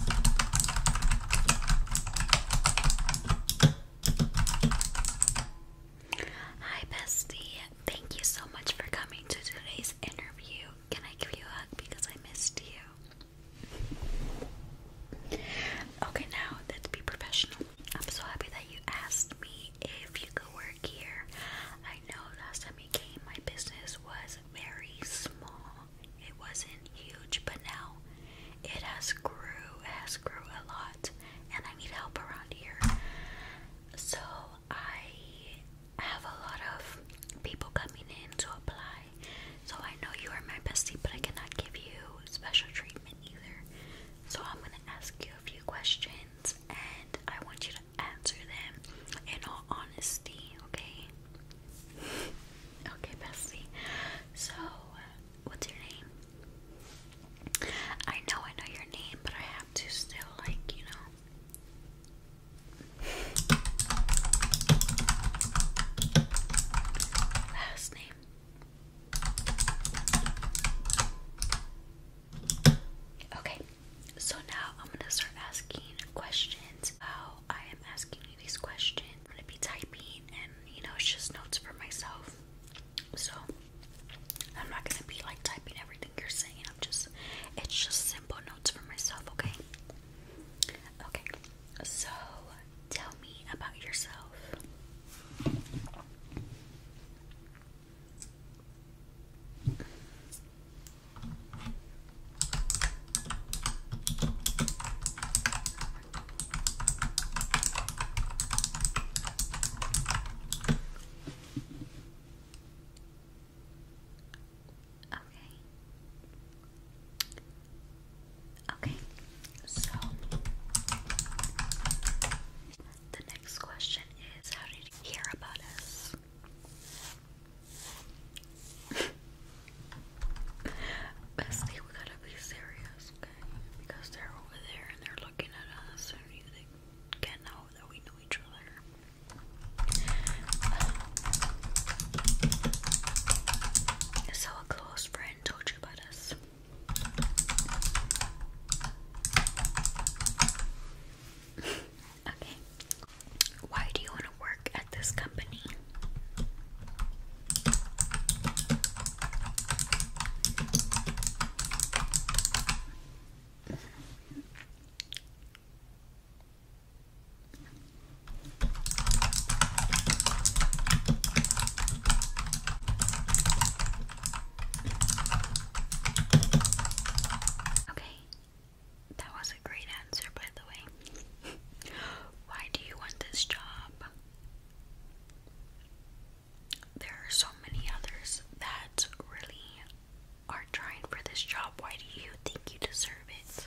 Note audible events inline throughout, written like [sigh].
Hi, bestie. Thank you so much for coming to today's interview. Can I give you a hug because I missed you? Okay, now let's be professional. I'm so happy that you asked me if you could work here. I know last time you came, my business was very small it wasn't huge, but now it has grew, it has grew a lot, and I need help around here. So I have a lot of people coming in to apply. So I know you are my bestie, but I cannot give you special treatment either. So I'm gonna ask you a few questions, and I want you to answer them in all honesty, okay? Okay, Bessie. So, uh, what's your name? I know I know your name, but I have to still, like, you know. Last name. Okay, so now I'm gonna start asking questions. How I am asking me question. I'm gonna be typing and you know it's just notes for myself. So I'm not gonna be like typing everything you're saying. I'm just it's just simple notes for myself, okay? Okay. So tell me about yourself. Okay. Okay. So the next question is how did you hear about us? Bestie, we gotta be serious, okay? Because they're over there and they're looking at us and they can't know that we know each other. so [sighs] a close friend told you about us. [laughs] okay. Why do you want to work at this company? Okay, that was a great answer, by the way. [laughs] Why do you want this job? There are so many others that really are trying for this job. Why do you think you deserve it?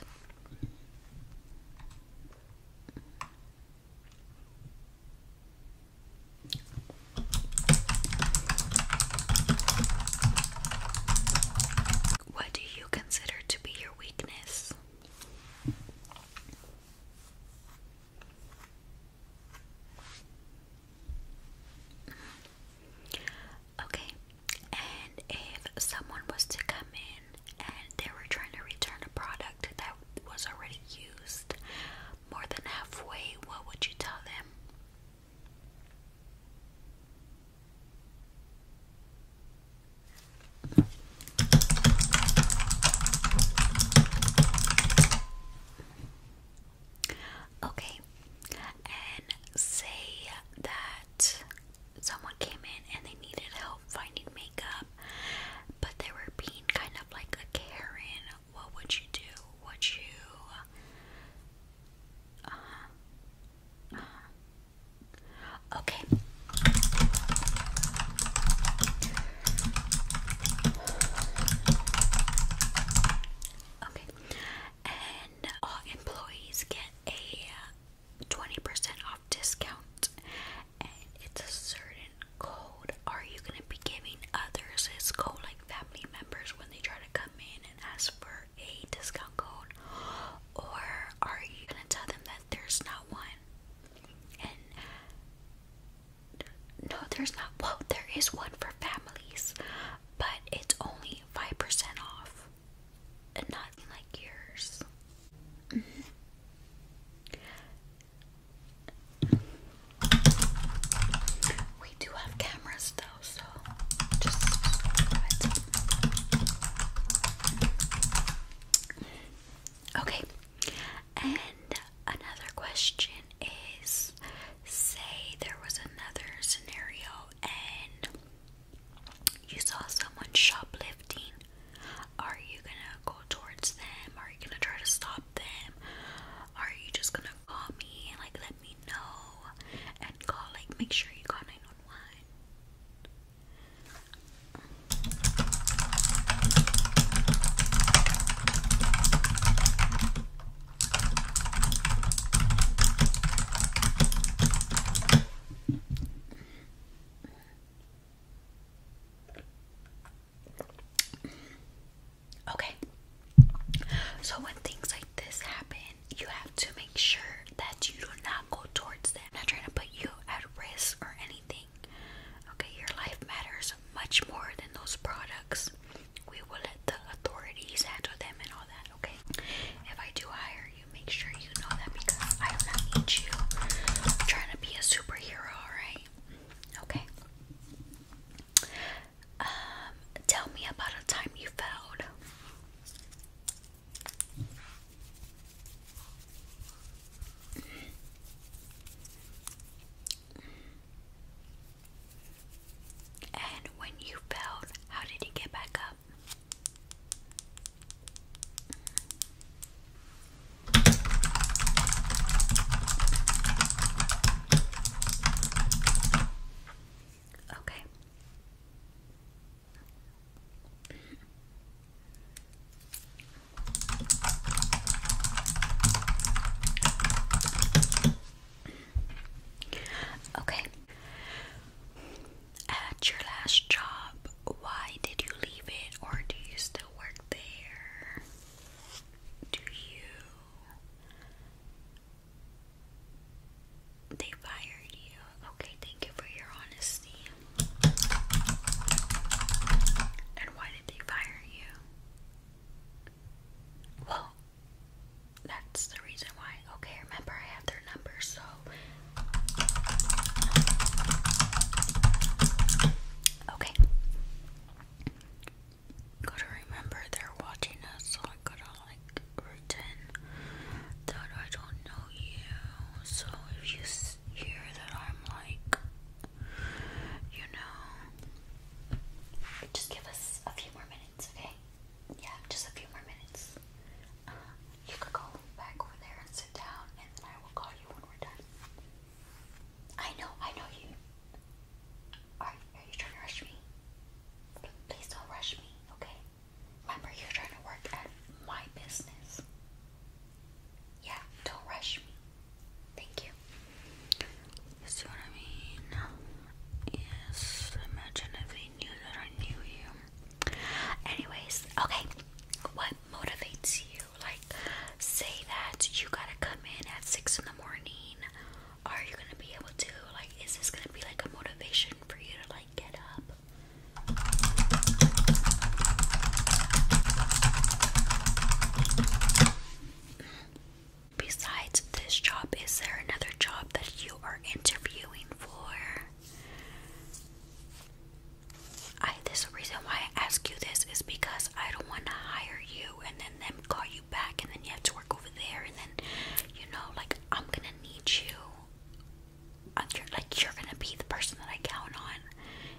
What do you consider to be your weakness? Okay, and if someone was to come in and they were trying to return a product that was already used more than halfway, what would you tell them? Okay, and say that someone came in and they needed help finding makeup, but they were being kind of like a Karen. What would you do? Would you? Uh-huh, uh-huh. Okay. Okay. And all employees get a 20% off discount. And it's a certain code. Are you going to be giving others this code, like family members, when they try to come in and ask for a discount code or are you gonna tell them that there's not one? And no, there's not. Well, there is one for families, but it's only 5% off and not like yours. Mm-hmm. We do have cameras though, so Okay, and another question is say there was another scenario and you saw someone shoplifting. Are you gonna go towards them? Are you gonna try to stop them? Are you just gonna call me and like let me know and call like make sure you call 911? Okay. So when things like this happen, you have to make sure that you do not go towards them. I'm not trying to put you at risk or anything. Okay, your life matters much more than those products. We will let the authorities handle them and all that, okay? If I do hire you, make sure you know that because I do not need you I'm trying to be a superhero, alright? Okay. Um, tell me about a time you failed. And when you fell, how did he get back up? Okay. Okay. At your last job, why did you leave it or do you still work there? Do you they fired you. Okay, thank you for your honesty. And why did they fire you? Well, that's the reason why. Okay, remember I have their number, so Okay. Gotta remember they're watching us, so I gotta like written that I don't know you. So if you hear that I'm like, you know, just give us a few more minutes, okay? Yeah, just a few more minutes. Uh, you could go back over there and sit down, and then I will call you when we're done. I know, I know you. Are, are you trying to rush me? Please don't rush me, okay? Remember, you're trying to work at my business. Yeah, don't rush me. Thank you. see what I mean? Yes, imagine if they knew that I knew you. Anyways, okay, what motivates you? Like, say that you gotta come in at 6 in the morning. Are you gonna be able to? Like, is this gonna be like a motivation for you to like get up? Besides this job, is there another job that you are interviewing for? I this reason why I ask you this is because I don't want to hire you and then them call you back and then you have to work over there and then you know like I'm gonna need you you're, like you're gonna be the person that I count on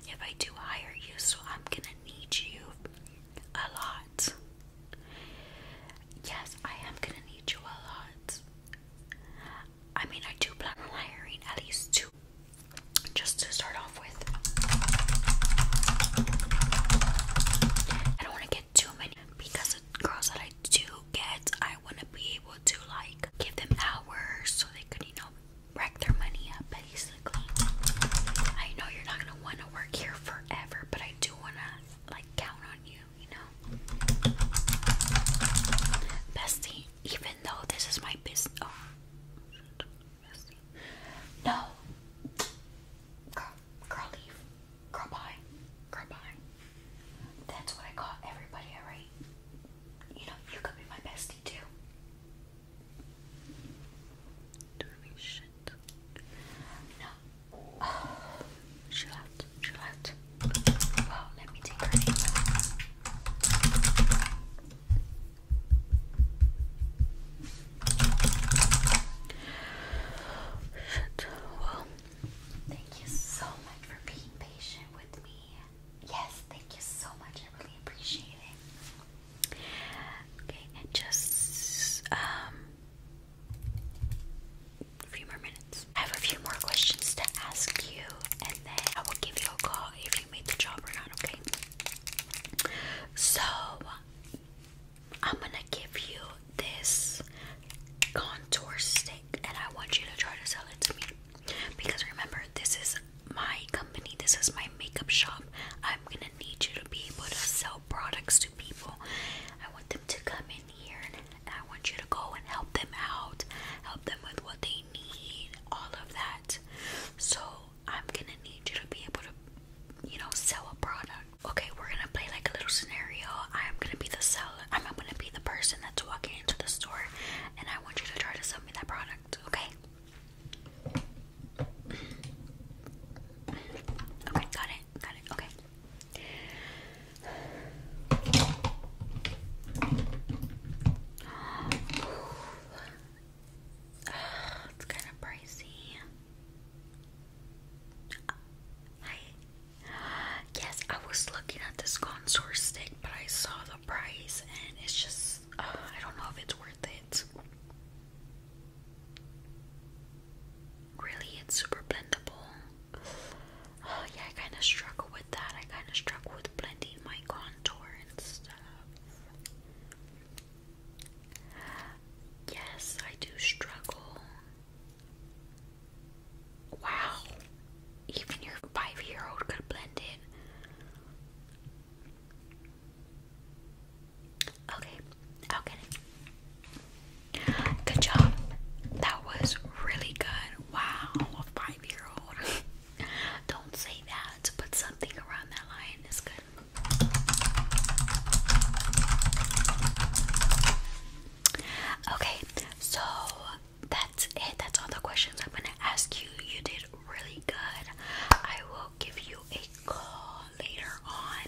if I do hire you, so I'm gonna need you a lot. Yes, I am gonna need you a lot. I mean, I do plan on hiring at least two, just to start off with. I don't want to get too many because girls that I do get, I want to be able to like give them hours so they could, you know, wreck their money up basically. I know you're not going to want to work here forever, but I do want to like count on you, you know. Bestie, even though this is my business. Oh, No. girl, leave. Girl, bye. Girl, bye. That's what I call everybody I You know, you could be my bestie too. Doing shit. No. [sighs] chill out. Chill out. Well, let me take her Shit. Well, Thank you so much for being patient with me. Yes, thank you so much. I really appreciate it. Okay, just um, a few more minutes. I have a few more questions to ask you and then I will give you a call if you made the job or not, okay? So I'm gonna give you this contour stick and I want you to try to sell it to me. Because remember, this is my company, this is my makeup shop. I'm gonna need you to be able to sell products to people. I want them to come in here and I want you to go and help them out, help them with what they need, all of that. So I'm gonna need you to be able to, you know, sell a product. Okay, we're gonna play like a little scenario. I'm gonna be the seller I'm not gonna be the person that's walking into the store and I want you to try to sell me that product, okay? Okay, got it, got it, okay. it's kind of pricey. Uh, Yes, I was looking at this contour stick, but I saw the price and it's just, uh, I don't know if it's worth it. Really, it's super blendable. Uh, yeah, I kind of struggle with that. I kind of struggle with blending my contour and stuff. Yes, I do struggle. Wow. Even your five year old could blend in. Okay, i Good job. That was really good. Wow, a five year old. [laughs] Don't say that, but something around that line is good. Okay, so that's it. That's all the questions I'm gonna ask you. You did really good. I will give you a call later on.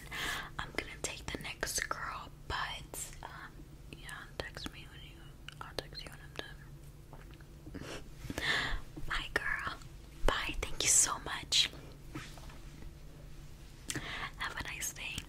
I'm gonna take the next girl, but um, yeah, text me when you. I'll text you when I'm done. [laughs] Bye, girl. Bye. Thank you so much. Have a nice day.